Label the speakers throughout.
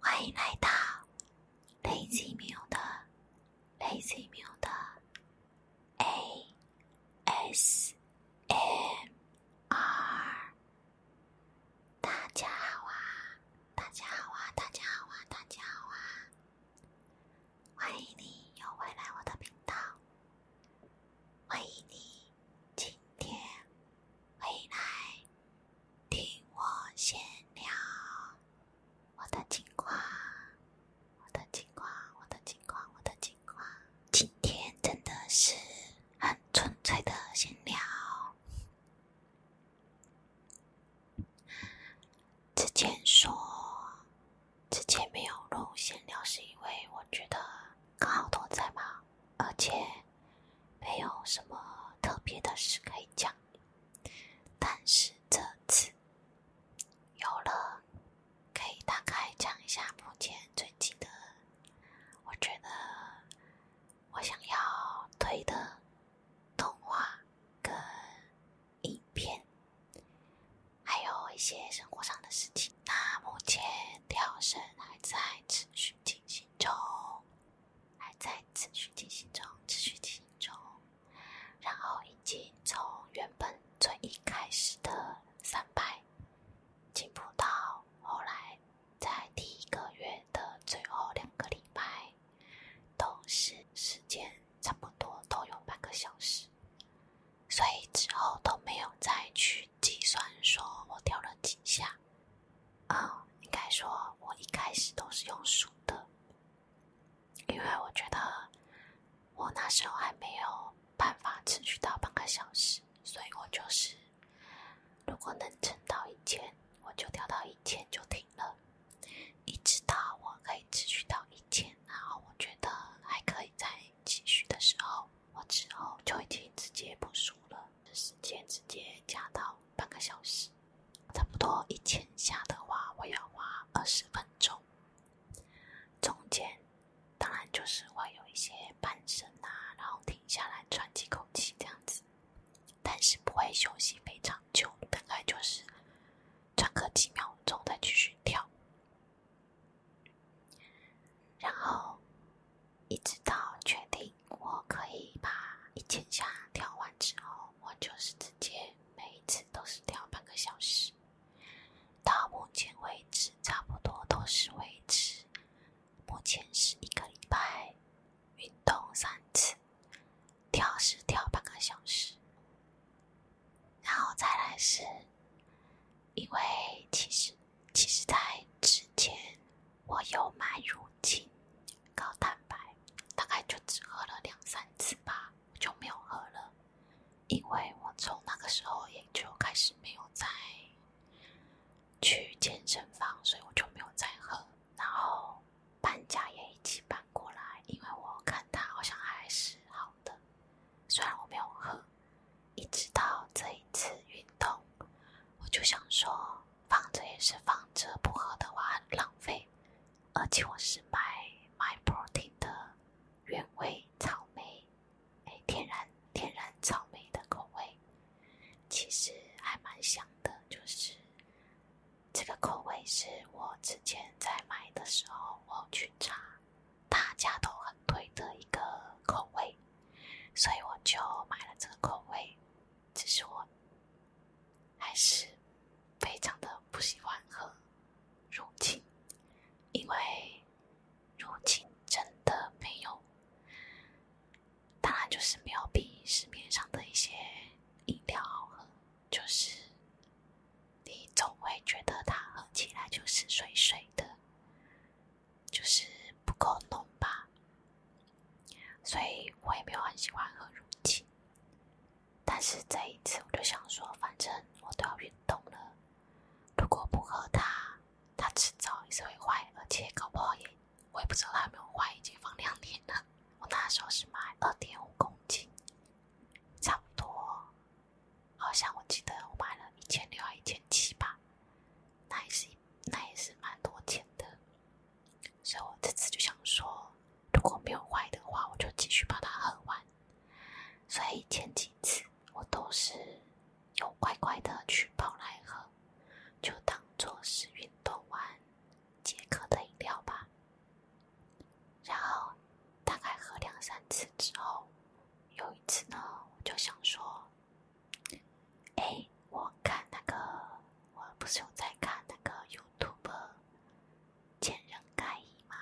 Speaker 1: 欢迎来到 l a z y m u d 的 LazyMuda ASMR。大家好啊！大家好啊！大家好啊！大家好啊！欢迎你又回来我的频道。欢迎你今天。回来听我闲聊我的情况，我的情况，我的情况，我的情况。今天真的是很纯粹的闲聊。之前说之前没有录闲聊，是因为我觉得刚好都在忙。而且没有什么特别的事可以讲，但是这次有了，可以大概讲一下目前最近的。我觉得我想要推的动画跟影片，还有一些生活上的事情。那目前跳绳还在持续进行中。还在持续进行中，持续进行中。然后已经从原本最一开始的三百，进步到后来在第一个月的最后两个礼拜，都是时间差不多都有半个小时。所以之后都没有再去计算说我掉了几下。啊，应该说，我一开始都是用数的，因为我觉得我那时候还没有办法持续到半个小时，所以我就是如果能撑到一千，我就调到一千就停了，一直到我可以持续到一千，然后我觉得还可以再继续的时候，我之后就已经直接不数了，时间直接加到。半个小时，差不多一千下的话，我要花二十分钟。中间当然就是会有一些半身啊，然后停下来喘几口气这样子，但是不会休息非常久，大概就是喘个几秒钟再继续跳，然后一直到确定。我可以把一千下跳完之后，我就是直接每一次都是跳半个小时。到目前为止，差不多都是维持，目前是一个礼拜运动三次，跳是跳半个小时，然后再来是，因为其实其实，在之前。我有买乳清高蛋白，大概就只喝了两三次吧，我就没有喝了，因为我从那个时候也就开始没有再去健身房，所以我就没有再喝。然后搬家也一起搬过来，因为我看他好像还是好的，虽然我没有喝，一直到这一次运动，我就想说。放着也是放着，不喝的话浪费。而且我是买买 Protein 的原味草莓，哎，天然天然草莓的口味，其实还蛮香的。就是这个口味是我之前在买的时候我去查，大家都很推的一个口味，所以我就买了这个口味。只是我，还是非常的不喜欢喝乳清，因为乳清真的没有，当然就是没有比市面上的一些饮料好喝，就是你总会觉得它喝起来就是水水的。就是不够浓吧，所以我也没有很喜欢喝乳清。但是这一次我就想说，反正我都要运动了，如果不喝它，它迟早也是会坏，而且搞不好也……我也不知道，它有没有坏，已经放两年了。我那时候是买二点五公斤，差不多，好像我记得我买了一千六还一千七吧，那也是那也是蛮多钱的。所以我这次就想说，如果没有坏的话，我就继续把它喝完。所以前几次我都是有乖乖的去跑来喝，就当做是运动完解渴的饮料吧。然后大概喝两三次之后，有一次呢，我就想说。哎，我看那个，我不是有在看那个 YouTube《鉴人盖伊》吗？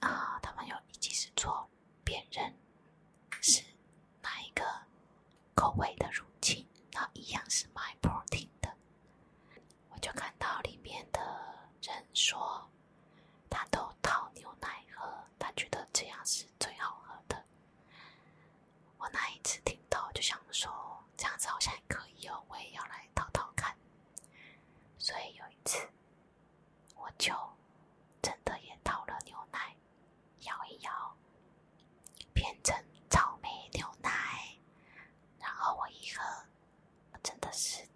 Speaker 1: 啊，他们有一集是做辨认是哪一个口味的乳清，然后一样是买 protein 的，我就看到里面的人说他都倒牛奶喝，他觉得这样是最好喝的。我那一次听到就想说，这样子好像还可以哦，我也要来淘淘看。所以有一次，我就真的也倒了牛奶，摇一摇，变成草莓牛奶。然后我一喝，真的是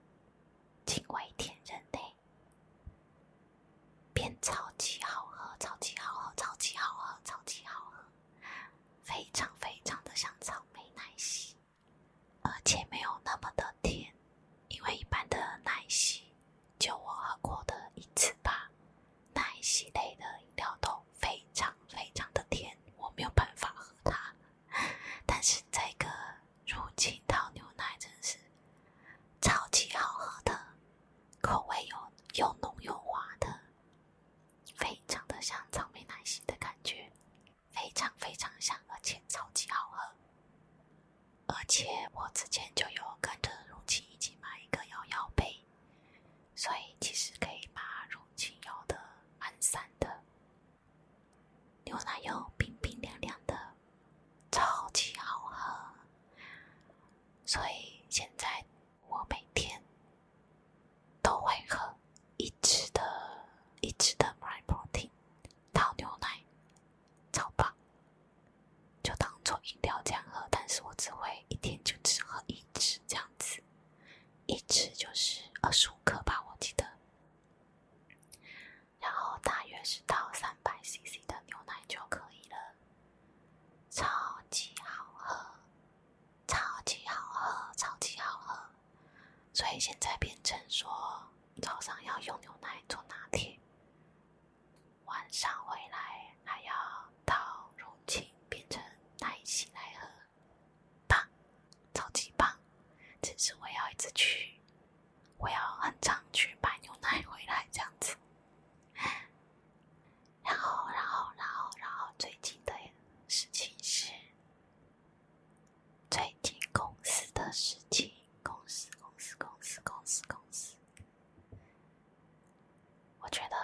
Speaker 1: 惊为天人嘞，变超级好喝，超级好喝，超级好喝，超级好喝。非常非常的像草莓奶昔，而且没有那么的甜。因为一般的奶昔，就我喝过的一次吧，奶昔类的饮料都非常非常的甜，我没有办法喝它。但是这个乳清倒牛奶真是超级好喝的，口味又又浓又滑的。非常的像草莓奶昔的感觉，非常非常像，而且超级好喝。而且我之前就有跟着荣青一起买一个摇摇杯，所以其实可以把荣青摇的很散的牛奶，又冰冰凉凉的，超级好喝。所以现在。我每天都会喝一支的，一支的 My Protein 倒牛奶，超棒，就当做饮料这样喝。但是我只会一天就只喝一支这样子，一支就是二十五克吧，我记得。然后大约是倒三百 CC 的牛奶就可以了。超级好喝，超级好喝，超级好喝，所以现在变成说早上要用牛奶做拿铁，晚上回来还要倒乳清变成奶昔来喝，棒，超级棒！只是我要一直去，我要很常去买牛奶回来这样子。然后，然后，然后，然后，最近的事情是，最近公司的事情，公司，公司，公司，公司，公司。我觉得，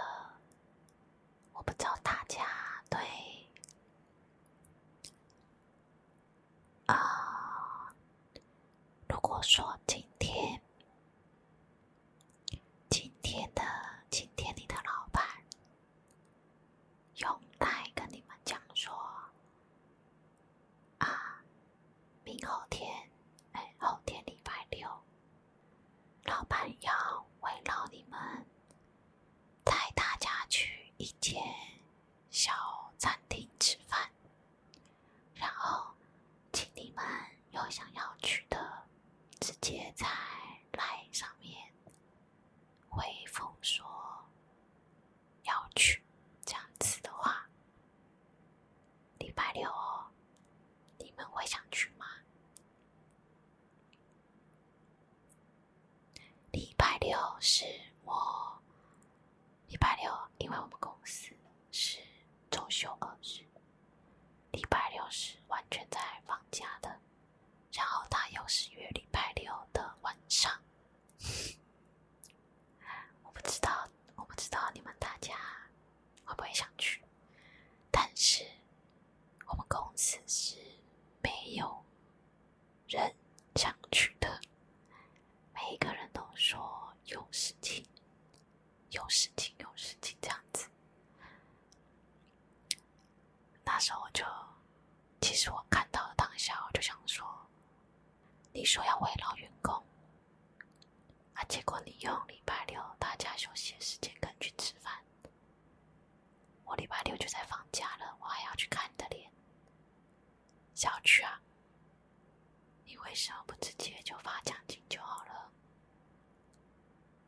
Speaker 1: 我不知道大家对，啊，如果说今天。今天的今天，你的老板用来跟你们讲说啊，明后天，哎，后天礼拜六，老板要围绕你们带大家去一间小餐厅吃饭，然后。请你们有想要去的，直接在来上面回复说要去。这样子的话，礼拜六哦，你们会想去吗？礼拜六是我，礼拜六因为我们公司是周休二日。礼拜六是完全在放假的，然后他又是约礼拜六的晚上，我不知道，我不知道你们大家会不会想去，但是我们公司是没有人想去的，每一个人都说有事情。有事情，有事情，这样子。那时候我就，其实我看到当下，我就想说，你说要慰劳员工，啊，结果你用礼拜六大家休息的时间跟去吃饭。我礼拜六就在放假了，我还要去看你的脸。小区啊，你为什么不直接就发奖金就好了？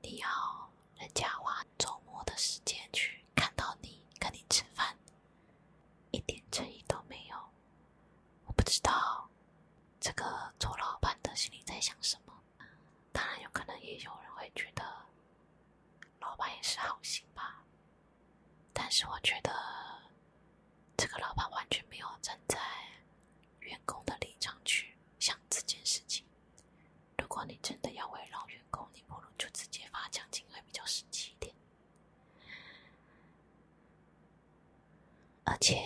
Speaker 1: 你要人家花周末的时间去看到你，跟你吃饭，一点诚意都没有。我不知道这个做老板的心里在想什么。当然，有可能也有人会觉得老板也是好心吧。但是我觉得这个老板完全没有站在。员工的立场去想这件事情。如果你真的要围绕员工，你不如就直接发奖金会比较实际一点。而且，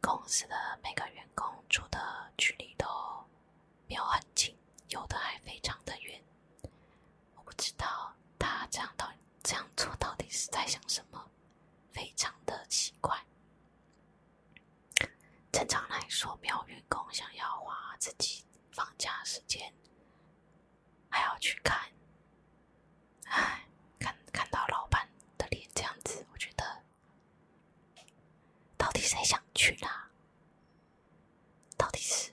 Speaker 1: 公司的每个员工住的距离都没有很近，有的还非常的远。我不知道他这样到这样做到底是在想什么，非常的奇怪。正常来说，有员工想要花自己放假时间，还要去看，唉，看看到老板的脸这样子，我觉得，到底谁想去啦？到底是？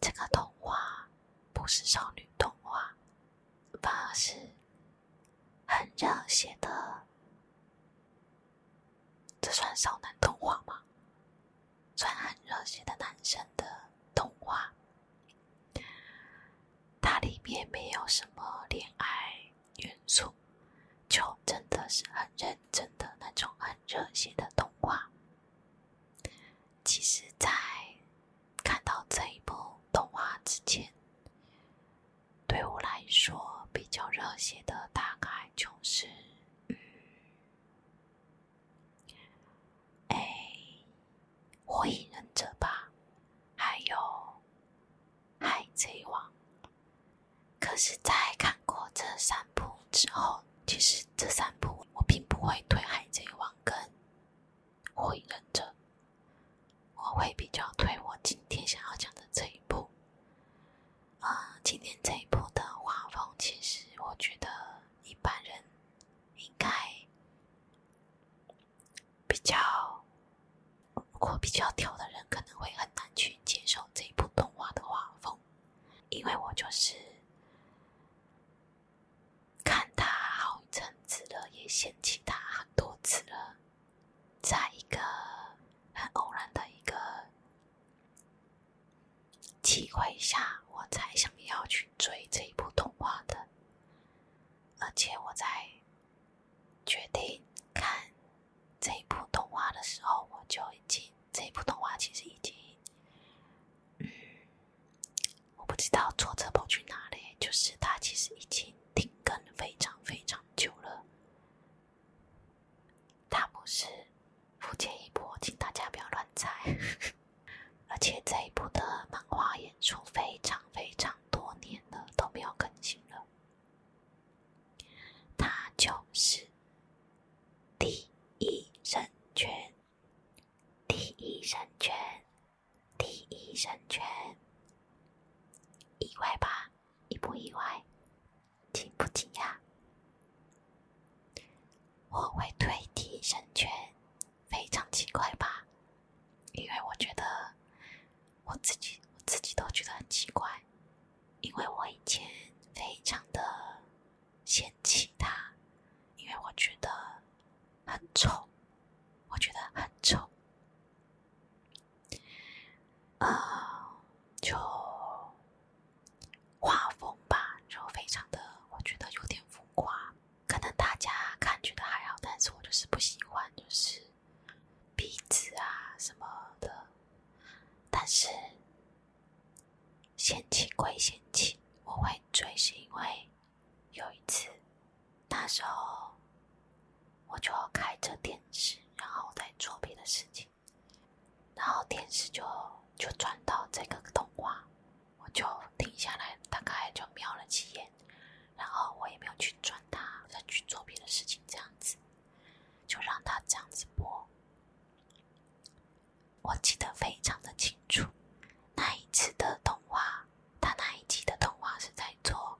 Speaker 1: 这个动画不是少女动画，反而是很热血的。这算少男动画吗？算很热血的男生的动画。它里面没有什么恋爱元素，就真的是很认真的那种很热血的动画。其实，在看到这一部动画之前，对我来说比较热血的大概就是，嗯，哎，《火影忍者》吧，还有《海贼王》。可是，在看过这三部之后，其实这三部我并不会对海贼王》更。火影忍者，我会比较推我今天想要讲的这一部。啊，今天这一部的画风，其实我觉得一般人应该比较，如果比较挑的人，可能会很难去接受这一部动画的画风，因为我就是。看他好阵子了，也嫌弃他很多次了。在一个很偶然的一个机会下，我才想要去追这一部动画的。而且我在决定看这一部动画的时候，我就已经这一部动画其实已经。我不知道作者跑去哪里，就是他其实已经停更非常非常久了。他不是福建一部，请大家不要乱猜。而且这一部的漫画演出非常非常多年了都没有更新了。他就是第一神拳。第一神拳，第一神拳，意外吧？意不意外？惊不惊讶？我会推第一神拳，非常奇怪吧？因为我觉得我自己，我自己都觉得很奇怪，因为我以前非常的。嫌弃他，因为我觉得很丑，我觉得很丑，呃，就画风吧，就非常的，我觉得有点浮夸。可能大家看觉得还好，但是我就是不喜欢，就是鼻子啊什么的。但是嫌弃归嫌弃，我会追是因为。有一次，那时候我就要开着电视，然后在做别的事情，然后电视就就转到这个动画，我就停下来，大概就瞄了几眼，然后我也没有去转它，再去做别的事情这样子，就让它这样子播。我记得非常的清楚，那一次的动画，他那一集的动画是在做，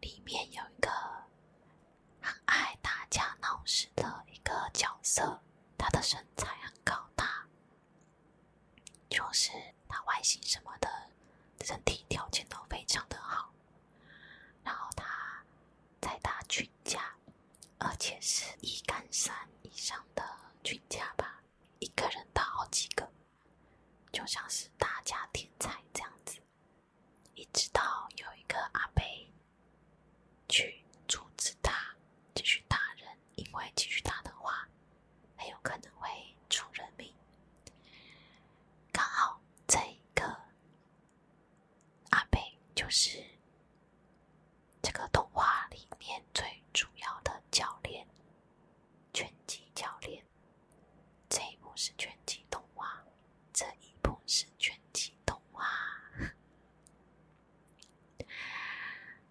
Speaker 1: 里面有一个很爱打架闹事的一个角色，他的身材很高大，就是他外形什么的，身体条件都非常的好，然后他在他群架。而且是一杆三以上的均价吧，一个人打好几个，就像是大家添菜这样子，一直到有一个阿伯去阻止他继续打人，因为继续打的话，很有可能会出人命。刚好这一个阿伯就是。这个动画里面最主要的教练，拳击教练。这一部是拳击动画，这一部是拳击动画。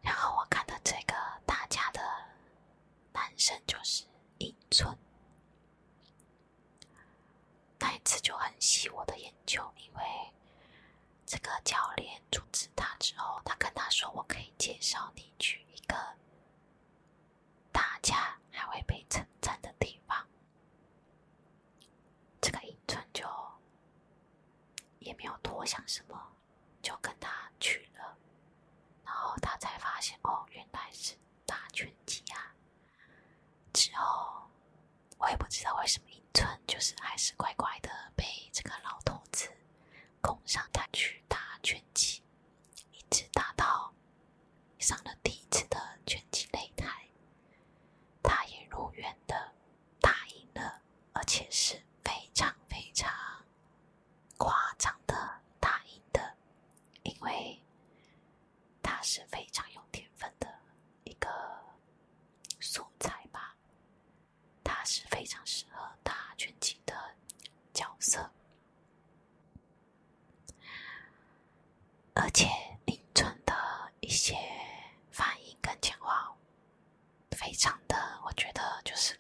Speaker 1: 然后我看到这个打架的男生就是英村，那一次就很吸我的眼球，因为。这个教练阻止他之后，他跟他说：“我可以介绍你去一个大家还会被称赞的地方。”这个尹春就也没有多想什么，就跟他去了。然后他才发现，哦，原来是打拳击啊！之后。我也不知道为什么，英寸就是还是乖乖的被这个老头子拱上台去打拳击，一直打到上了第一次的拳击擂台，他也如愿的打赢了，而且是非常非常夸张的打赢的，因为他是非常有天分的一个素材吧，他是非常适合打拳击的角色，而且林春的一些反应跟讲话，非常的，我觉得就是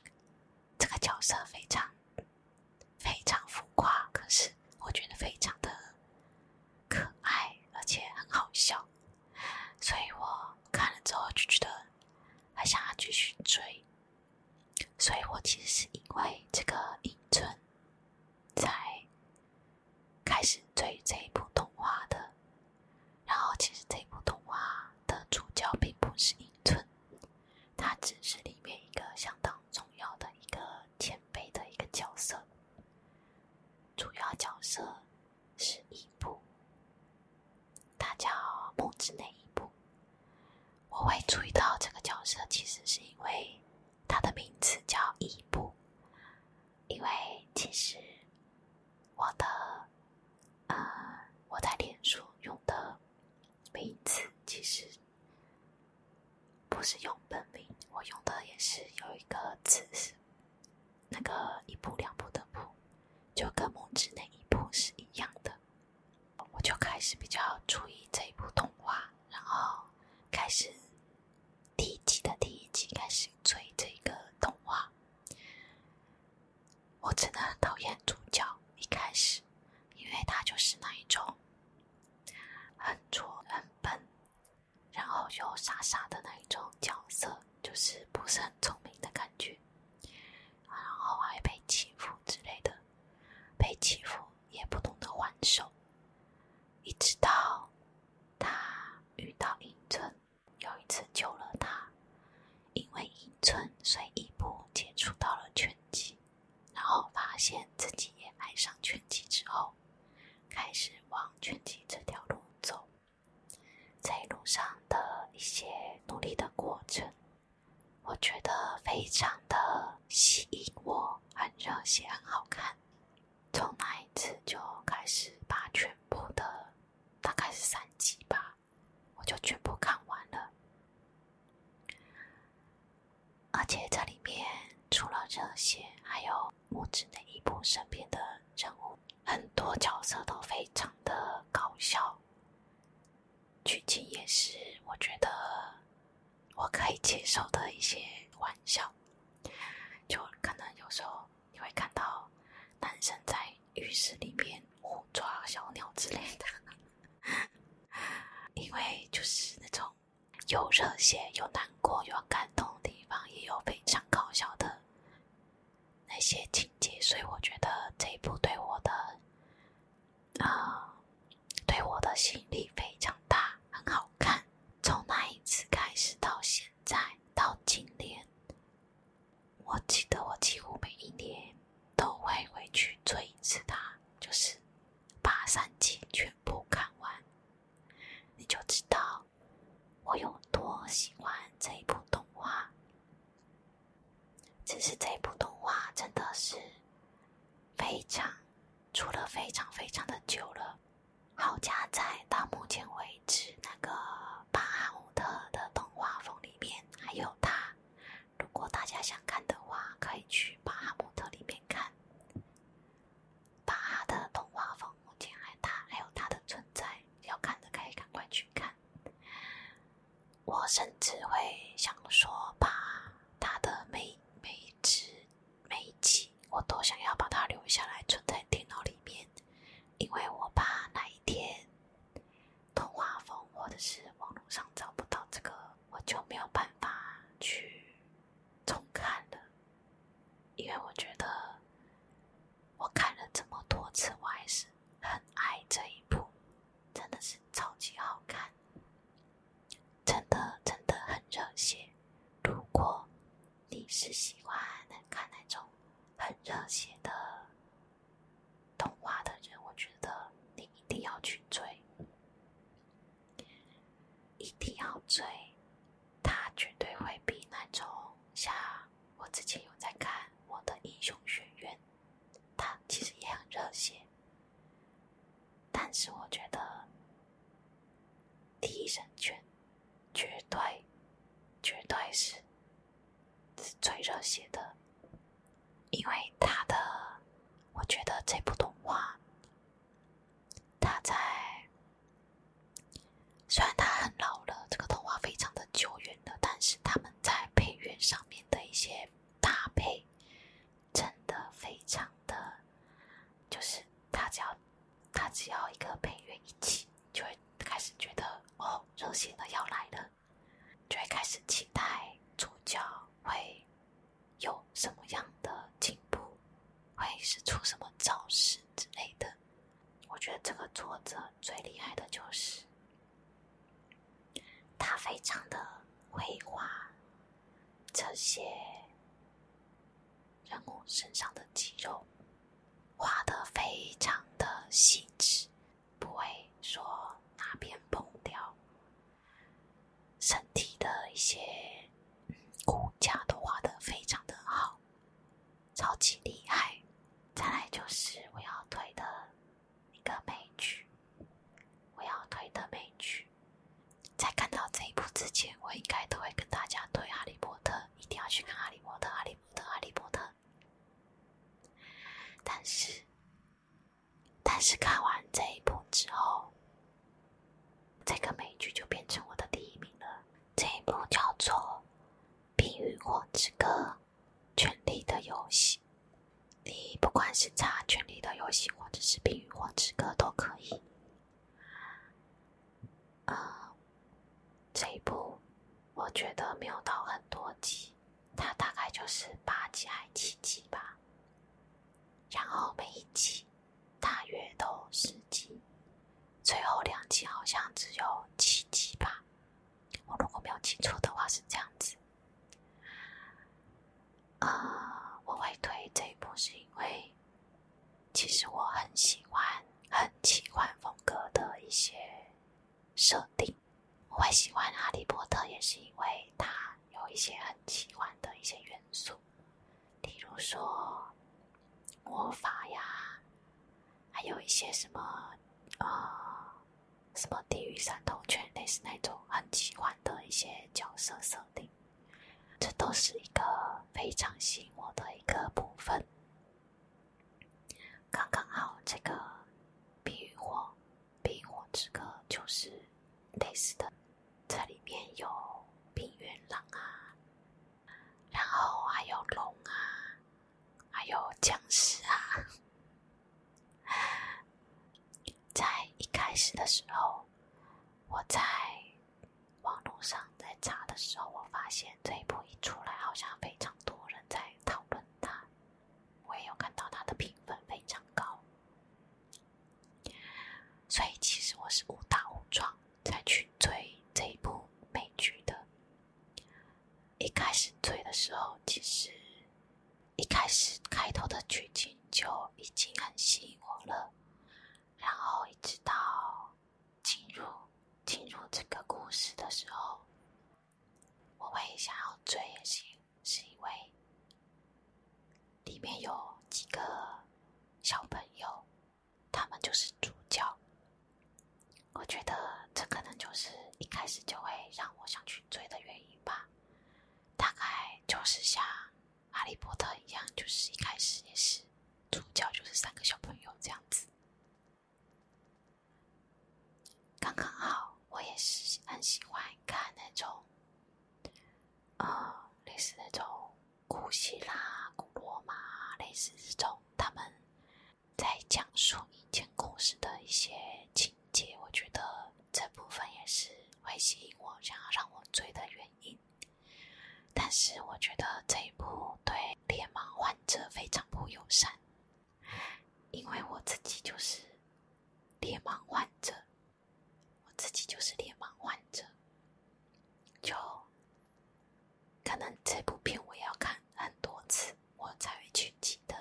Speaker 1: 这个角色非常非常浮夸，可是我觉得非常的可爱，而且很好笑。所以我看了之后就觉得还想要继续追，所以我其实是因为这个影寸才开始追这一部动画的。然后其实这部动画的主角并不是英寸，他只是里面一个相当重要的一个前辈的一个角色，主要角色。是伊布，他叫木之内伊布。我会注意到这个角色，其实是因为他的名字叫伊布，因为其实我的呃我在脸书用的名字其实不是用本名，我用的也是有一个词是。那个一步两步的步，就跟拇之那一步是一样的，我就开始比较注意这一部动画，然后开始第一集的第一集开始追这个动画。我真的很讨厌主角一开始，因为他就是那一种很挫很笨。然后又傻傻的那一种角色，就是不是很聪明的感觉，然后还被欺负之类的，被欺负也不懂得还手。一直到他遇到英村，又一次救了他，因为英村，所以伊布接触到了拳击，然后发现自己也爱上拳击之后，开始往拳击这条路走。在路上的一些努力的过程，我觉得非常的吸引我，很热血，很好看。从那一次就开始把全部的，大概是三集吧，我就全部看完了。而且这里面除了热血，还有。目之内一部身边的人物，很多角色都非常的搞笑，剧情也是我觉得我可以接受的一些玩笑。就可能有时候你会看到男生在浴室里面互抓小鸟之类的，因为就是那种有热血、有难过、有感动的地方，也有非常搞笑的。那些情节，所以我觉得这一部对我的，啊，对我的吸引力非常大，很好看。从那一次开始到现在，到今年，我记得我几乎每一年都会回去追一次它，就是把三季全部看完，你就知道。我有多喜欢这一部动画，只是这一部动画真的是非常出了非常非常的久了。好加在到目前为止，那个巴哈姆特的动画风里面还有它。如果大家想看的话，可以去巴哈姆特里面看。把他的动话风，目前还他还有他的存在，要看的可以赶快去看。我甚至会想说，把他的每每一集每一集，我都想要把它留下来存，在电脑里面，因为我怕哪一天动话风或者是网络上找不到这个，我就没有办法去重看了。因为我觉得，我看了这么多次，我还是很爱这一部，真的是超级好看，真的真的很热血。如果你是喜欢看那种很热血的动画的人，我觉得你一定要去追，一定要追。他绝对会比那种像我之前有在看《我的英雄学院》，他其实也很热血，但是我觉得《替人拳》绝对绝对是最热血的，因为他的我觉得这部动画他在。虽然它很老了，这个动画非常的久远了，但是他们在配乐上面的一些搭配，真的非常的，就是他只要他只要一个配乐一起，就会开始觉得哦，热血的要来了，就会开始期待主角会有什么样的进步，会是出什么招式之类的。我觉得这个作者最厉害的就是，他非常的会画，这些人物身上的肌肉画的非常的细致，不会说哪边崩掉。身体的一些骨架都画的非常的好。超级厉害！再来就是我要推的一个美剧，我要推的美剧。在看到这一部之前，我应该都会跟大家推《哈利波特》，一定要去看《哈利波特》《哈利波特》《哈利波特》。但是，但是看完这一部之后，这个美剧就变成我的第一名了。这一部叫做《冰与火之歌：权力的游戏》，你不管是查《权力的游戏》或者是《冰与火之歌》都可以。啊，这一部我觉得没有到很多集，它大概就是八集还七集吧。然后每一集大约都十集。最后两集好像只有七集吧，我如果没有记错的话是这样子。啊，我会推这一部是因为，其实我很喜欢很奇幻风格的一些设定。我会喜欢哈利波特也是因为它有一些很奇幻的一些元素。例如说，魔法呀，还有一些什么，呃，什么地狱三头犬，类似那种很喜欢的一些角色设定，这都是一个非常吸引我的一个部分。刚刚好，这个冰与火，冰火之歌就是类似的，在里面有冰原狼啊。然后还有龙啊，还有僵尸啊，在一开始的时候，我在网络上在查的时候，我发现这一部一出来，好像非常多人在讨论它，我也有看到它的评分非常高，所以其实我是误打误撞。才去追这一部美剧的。一开始追的时候，其实一开始开头的剧情就已经很吸引我了。然后一直到进入进入这个故事的时候，我会想要追，也是是因为里面有几个小朋友。他们就是主角，我觉得这可能就是一开始就会让我想去追的原因吧。大概就是像《哈利波特》一样，就是一开始也是主角就是三个小朋友这样子，刚刚好。我也是很喜欢看那种，呃，类似那种。古希腊、古罗马，类似这种，他们在讲述一件故事的一些情节，我觉得这部分也是会吸引我，想要让我追的原因。但是，我觉得这一部对夜盲患者非常不友善，因为我自己就是夜盲患者，我自己就是夜盲患者，就。可能这部片我要看很多次，我才会去记得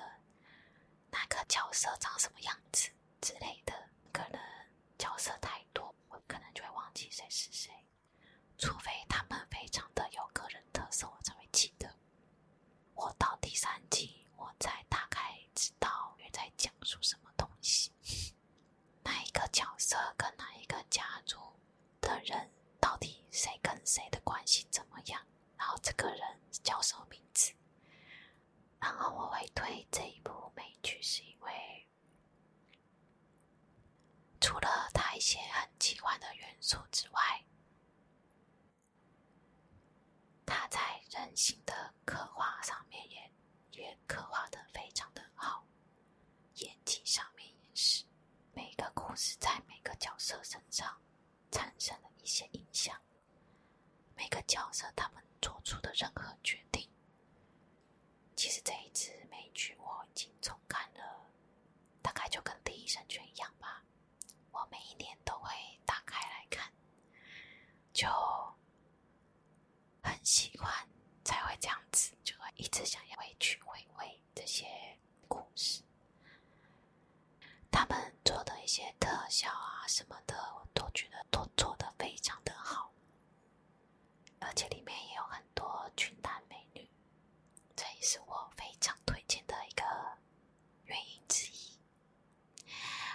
Speaker 1: 那个角色长什么样子之类的。可能角色太多，我可能就会忘记谁是谁，除非他们非常的有个人特色，我才会记得。我到第三集，我才大概知道你在讲述什么东西。哪一个角色跟哪一个家族的人，到底谁跟谁的关系怎么样？然后这个人叫什么名字？然后我会推这一部美剧，是因为除了他一些很奇幻的元素之外，他在人性的刻画上面也也刻画的非常的好。演技上面也是，每个故事在每个角色身上产生了一些影响，每个角色他们做出的任何决定。其实这一次美剧我已经重看了，大概就跟第一神全一样吧，我每一年都会打开来看，就。很喜欢，才会这样子，就会一直想要回去回味这些故事。他们做的一些特效啊什么的，我都觉得都做的非常的好，而且里面也有很多俊男美女，这也是我非常推荐的一个原因之一。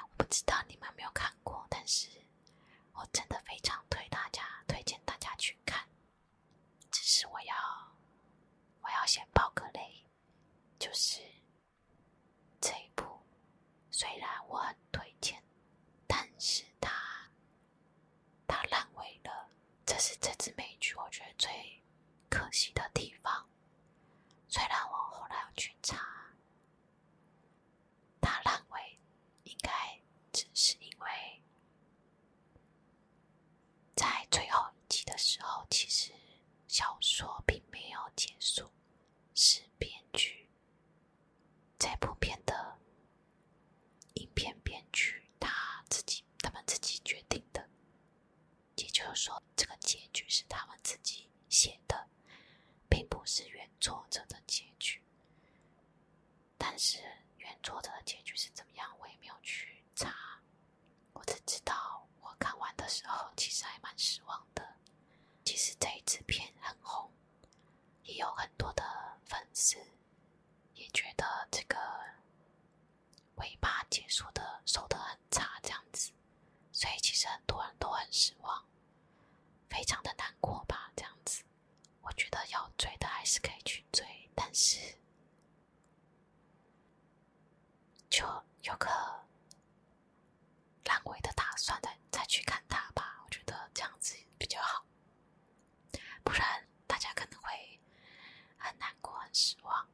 Speaker 1: 我不知道你们没有看过，但是我真的非常推大家，推荐大家去看。只是我要，我要先爆个雷，就是这一部，虽然我很推荐，但是它它烂尾了，这是这支美剧我觉得最可惜的地方。虽然我后来去查，它烂尾。应该只是因为，在最后一集的时候，其实小说并没有结束，是编剧在不片的影片编剧他自己他们自己决定的，也就是说，这个结局是他们自己写的，并不是原作者的结局。但是原作者的结局是怎么样，我也没有去查。我只知道我看完的时候，其实还蛮失望的。其实这一支片很红，也有很多的粉丝，也觉得这个尾巴结束的收的很差，这样子。所以其实很多人都很失望，非常的难过吧，这样子。我觉得要追的还是可以去追，但是就有个烂尾的打算，再再去看他吧。我觉得这样子比较好，不然大家可能会很难过、很失望。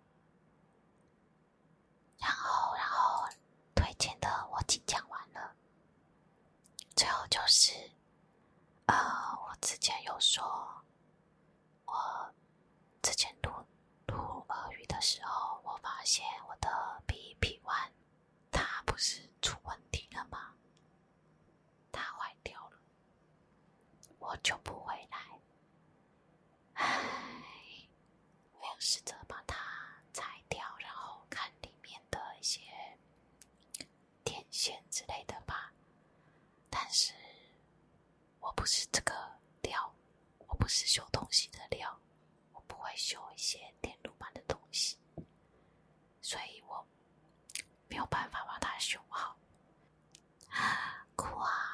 Speaker 1: 然后，然后推荐的我已经讲完了，最后就是。呃，我之前有说，我之前读读俄语的时候，我发现我的 B P One 它不是出问题了吗？它坏掉了，我就不回来。唉，我要试着把它拆掉，然后看里面的一些。电线之类的吧，但是我不是这个料，我不是修东西的料，我不会修一些电路板的东西，所以我没有办法把它修好，哭啊！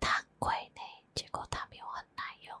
Speaker 1: 太 贵呢，结果它有很耐用。